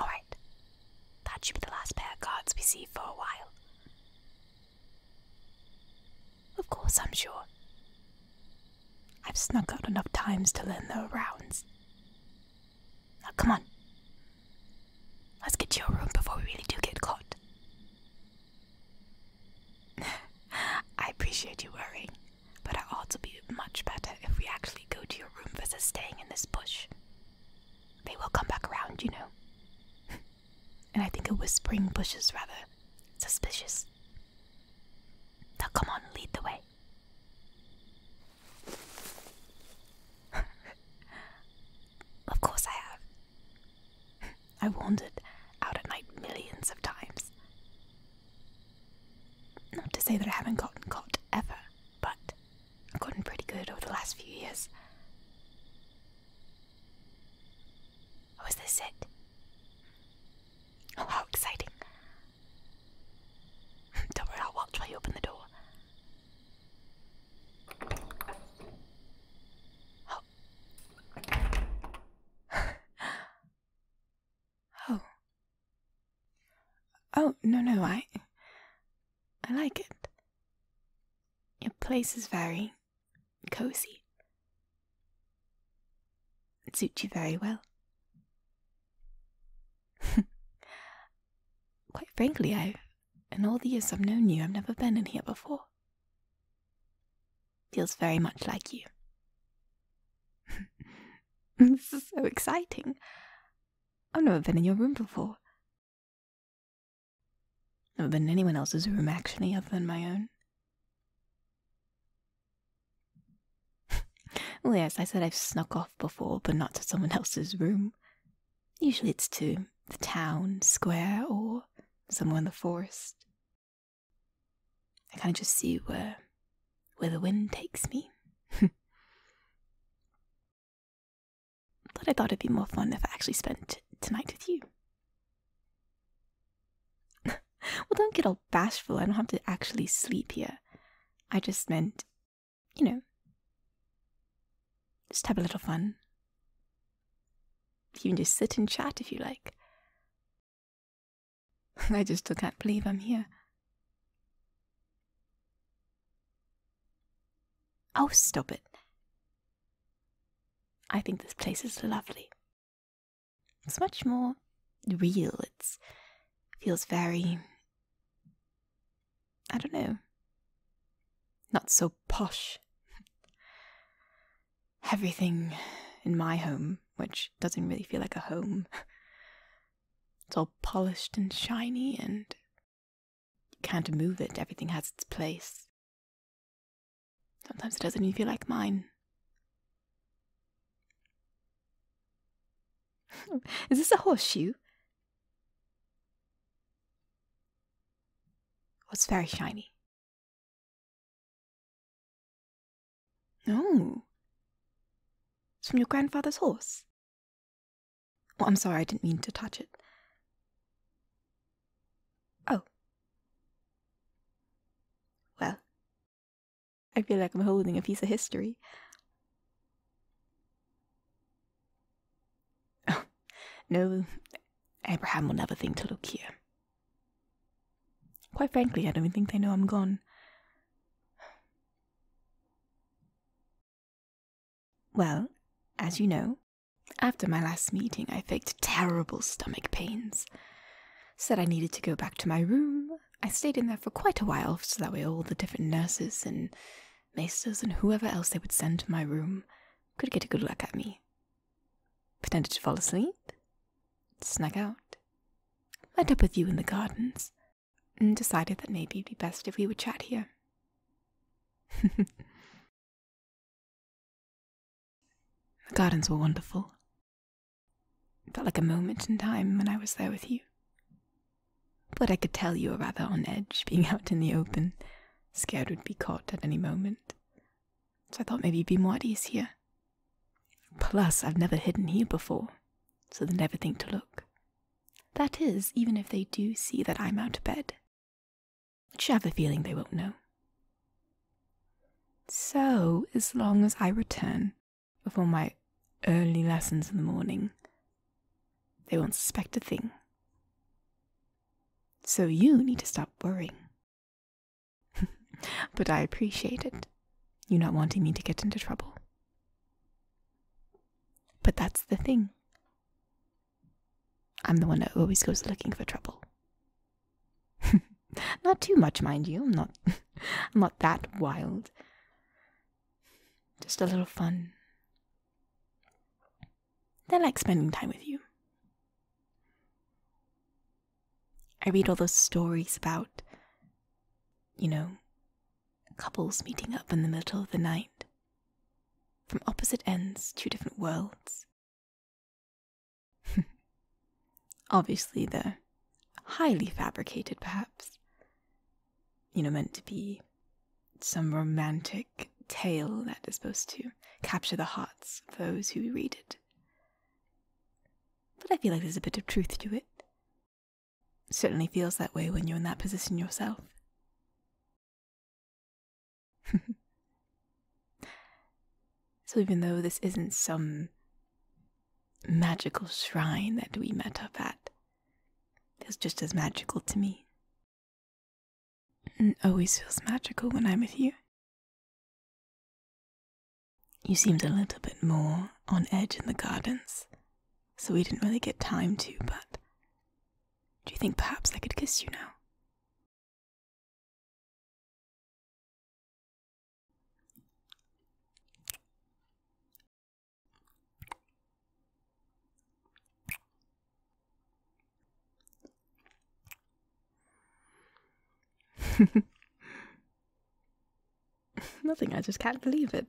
Alright, that should be the last pair of cards we see for a while. Of course, I'm sure. I've snuck out enough times to learn the rounds. Now, come on. Let's get to your room before we really do get caught. I appreciate you worrying. But our odds will be much better if we actually go to your room versus staying in this bush. They will come back around, you know. and I think a whispering bush is rather suspicious. Now come on, lead the way. of course I have. I wandered out at night millions of times. Not to say that I haven't gotten caught ever, but I've gotten pretty good over the last few years. Oh, is this it? Oh, how exciting! Don't worry, I'll watch while you open the door. Oh. Oh. Oh, no, no, I. I like it. Your place is very cozy. It suits you very well. Quite frankly, i in all the years I've known you, I've never been in here before. Feels very much like you. this is so exciting. I've never been in your room before. Never been in anyone else's room, actually, other than my own. well, yes, I said I've snuck off before, but not to someone else's room. Usually it's to the town, square, or somewhere in the forest. I kind of just see where where the wind takes me. but I thought it'd be more fun if I actually spent tonight with you. well, don't get all bashful. I don't have to actually sleep here. I just meant, you know, just have a little fun. You can just sit and chat if you like. I just still can't believe I'm here. Oh, stop it. I think this place is lovely. It's much more real. It feels very I don't know. Not so posh. Everything in my home which doesn't really feel like a home. It's all polished and shiny, and you can't move it, everything has its place. Sometimes it doesn't even feel like mine. Is this a horseshoe? it's very shiny. Oh, It's from your grandfather's horse. Oh, I'm sorry, I didn't mean to touch it. Oh. Well, I feel like I'm holding a piece of history. Oh, no, Abraham will never think to look here. Quite frankly, I don't think they know I'm gone. Well, as you know, after my last meeting, I faked terrible stomach pains. Said I needed to go back to my room. I stayed in there for quite a while, so that way all the different nurses and maesters and whoever else they would send to my room could get a good look at me. Pretended to fall asleep, Snug out, met up with you in the gardens, and decided that maybe it'd be best if we would chat here. the gardens were wonderful. felt like a moment in time when I was there with you. But I could tell you were rather on edge, being out in the open, scared we'd be caught at any moment. So I thought maybe you'd be more at ease here, Plus, I've never hidden here before, so they never think to look. That is, even if they do see that I'm out of bed, But you have a feeling they won't know. So, as long as I return before my early lessons in the morning, they won't suspect a thing. So, you need to stop worrying but I appreciate it, you not wanting me to get into trouble. But that's the thing. I'm the one that always goes looking for trouble. not too much, mind you. I'm not I'm not that wild. Just a little fun. They like spending time with you. I read all those stories about, you know, couples meeting up in the middle of the night from opposite ends, two different worlds. Obviously, they're highly fabricated, perhaps. You know, meant to be some romantic tale that is supposed to capture the hearts of those who read it. But I feel like there's a bit of truth to it. Certainly feels that way when you're in that position yourself. so, even though this isn't some magical shrine that we met up at, it's just as magical to me. It always feels magical when I'm with you. You seemed a little bit more on edge in the gardens, so we didn't really get time to, but do you think perhaps I could kiss you now? Nothing, I just can't believe it.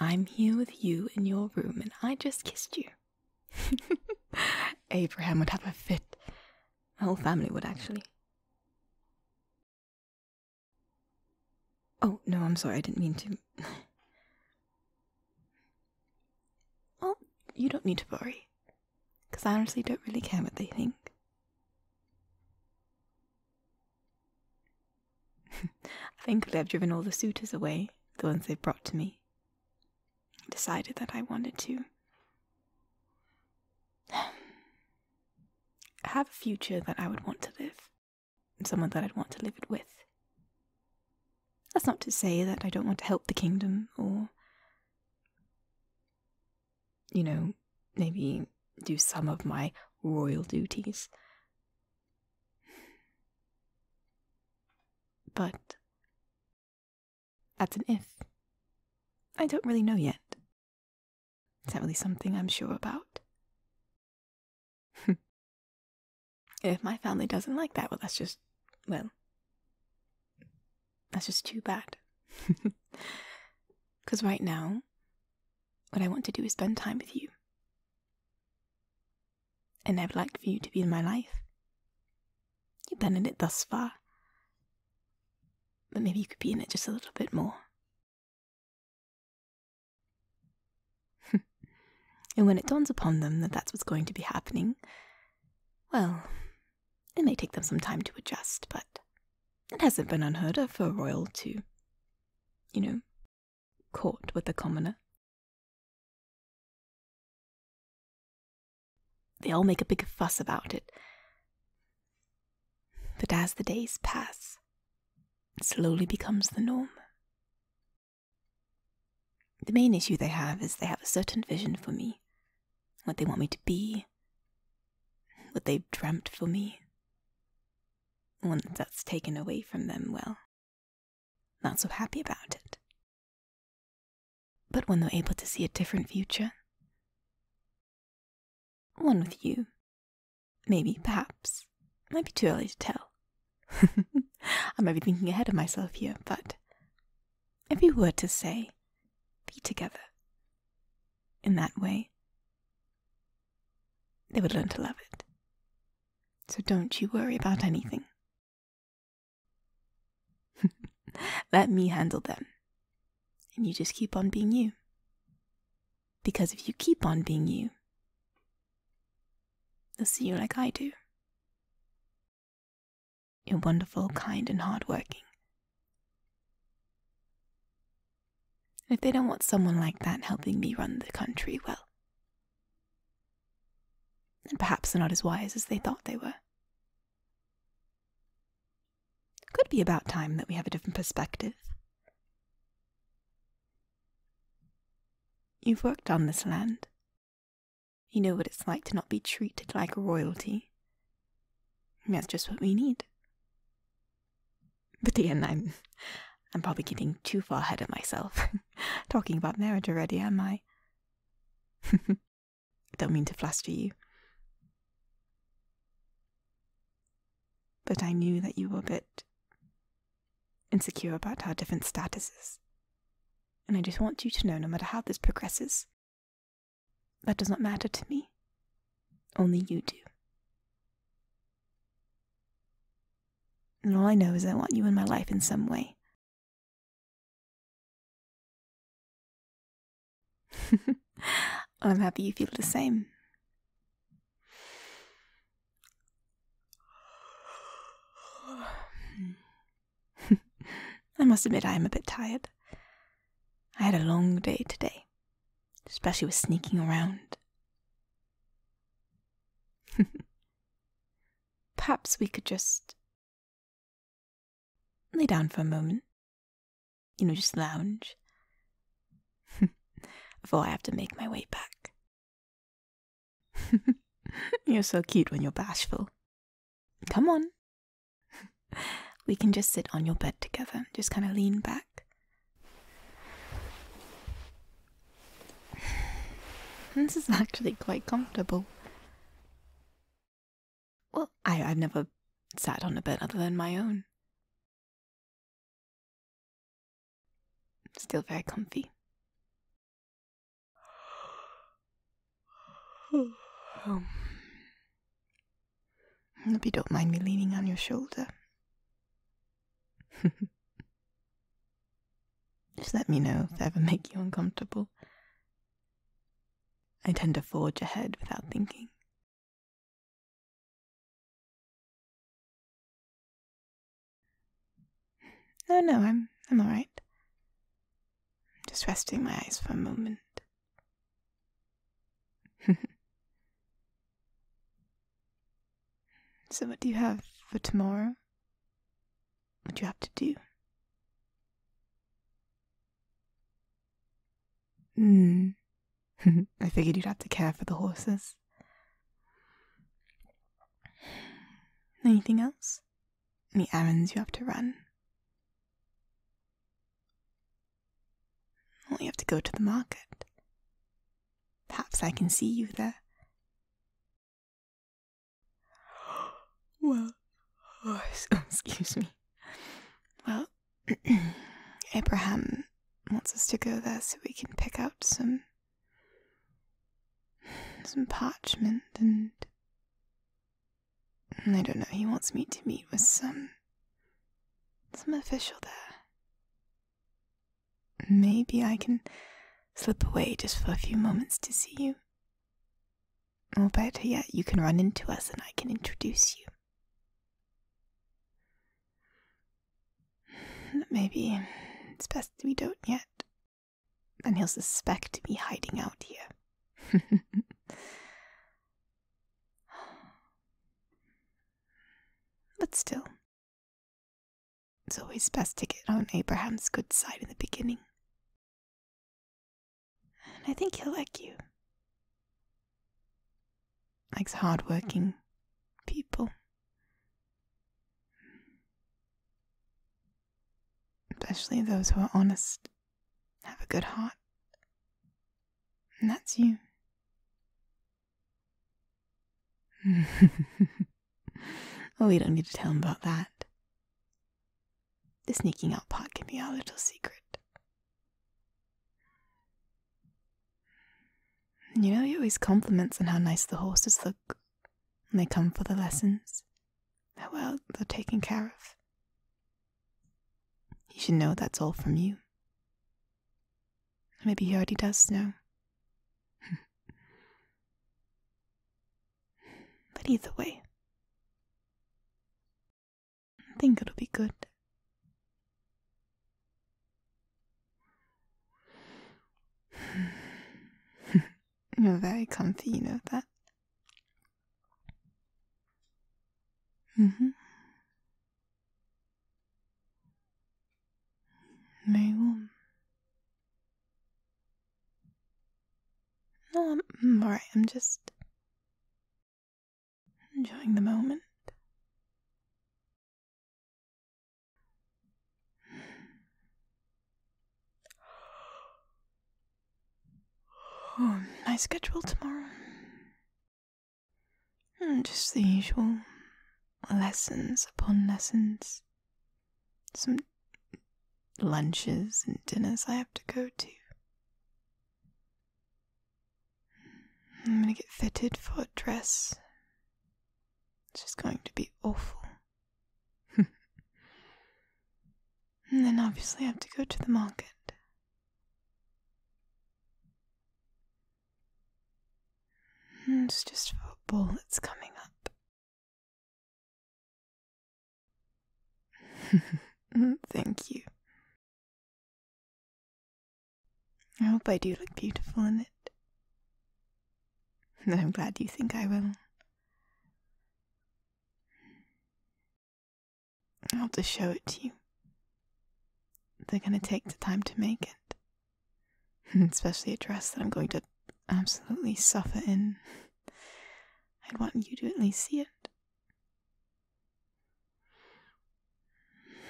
I'm here with you in your room and I just kissed you. Abraham would have a fit. The whole family would actually. Oh, no, I'm sorry, I didn't mean to. Well, you don't need to worry, because I honestly don't really care what they think. Thankfully, I've driven all the suitors away, the ones they have brought to me. I decided that I wanted to have a future that I would want to live, and someone that I'd want to live it with. That's not to say that I don't want to help the kingdom or you know, maybe do some of my royal duties. But that's an if. I don't really know yet. It's not really something I'm sure about. if my family doesn't like that, well, that's just, well, that's just too bad. Because right now, what I want to do is spend time with you. And I'd like for you to be in my life. You've been in it thus far. But maybe you could be in it just a little bit more. and when it dawns upon them that that's what's going to be happening, well, it may take them some time to adjust, but it hasn't been unheard of for a royal to, you know, court with a commoner. They all make a big fuss about it. But as the days pass, it slowly becomes the norm. The main issue they have is they have a certain vision for me, what they want me to be, what they've dreamt for me. One that's taken away from them, well, not so happy about it. But when they're able to see a different future, one with you, maybe, perhaps, might be too early to tell. I might be thinking ahead of myself here, but if you were to say, be together in that way, they would learn to love it. So don't you worry about anything. Let me handle them. And you just keep on being you. Because if you keep on being you, they'll see you like I do. You're wonderful, kind, and hardworking. If they don't want someone like that helping me run the country, well, then perhaps they're not as wise as they thought they were. Could be about time that we have a different perspective. You've worked on this land, you know what it's like to not be treated like royalty. that's just what we need. But again, I'm, I'm probably getting too far ahead of myself. Talking about marriage already, am I? Don't mean to fluster you. But I knew that you were a bit insecure about our different statuses and I just want you to know no matter how this progresses, that does not matter to me. Only you do. And all I know is I want you in my life in some way. I'm happy you feel the same. I must admit I am a bit tired. I had a long day today, especially with sneaking around. Perhaps we could just lay down for a moment. You know, just lounge. Before I have to make my way back. you're so cute when you're bashful. Come on. we can just sit on your bed together, just kind of lean back. This is actually quite comfortable. Well, I, I've never sat on a bed other than my own. Still very comfy. Oh. Um, Hope you don't mind me leaning on your shoulder. Just let me know if I ever make you uncomfortable. I tend to forge ahead without thinking. Oh no, I'm I'm all right. I'm just resting my eyes for a moment. so what do you have for tomorrow? What do you have to do? Hmm. I figured you'd have to care for the horses. Anything else? Any errands you have to run? Well, you have to go to the market. Perhaps I can see you there. Well, oh, excuse me. Well, Abraham wants us to go there so we can pick out some some parchment and. I don't know, he wants me to meet with some. some official there. Maybe I can slip away just for a few moments to see you. Or better yet, you can run into us and I can introduce you. Maybe it's best we don't yet. Then he'll suspect me hiding out here. but still, it's always best to get on Abraham's good side in the beginning. And I think he'll like you. Likes hardworking people. Especially those who are honest, have a good heart. And that's you. well, we don't need to tell him about that. The sneaking out part can be our little secret. You know, he always compliments on how nice the horses look when they come for the lessons, how well they're taken care of. You should know that's all from you. Maybe he already does know. but either way, I think it'll be good. You're very comfy, you know that. Mm-hmm. Very warm. No, I'm alright, I'm just enjoying the moment my hmm, schedule tomorrow. Hmm, just the usual lessons upon lessons. Some lunches and dinners I have to go to. I'm gonna get fitted for a dress. It's just going to be awful. and then obviously I have to go to the market. it's just for a ball that's coming up. Thank you. I hope I do look beautiful in it. And I'm glad you think I will. I'll just show it to you. They're going to take the time to make it. Especially a dress that I'm going to absolutely suffer in. I'd want you to at least see it.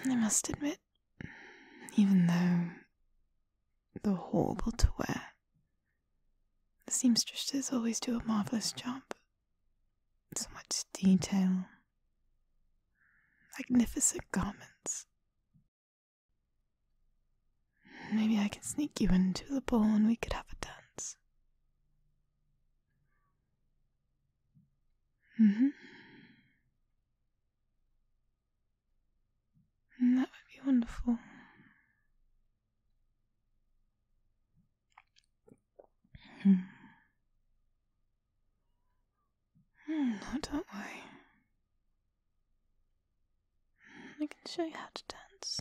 I must admit, even though they're horrible to wear. The seamstresses always do a marvellous job. So much detail, magnificent garments. Maybe I can sneak you into the ball and we could have a dance. Mm hmm. Mm, that would be wonderful. not that way. I can show you how to dance.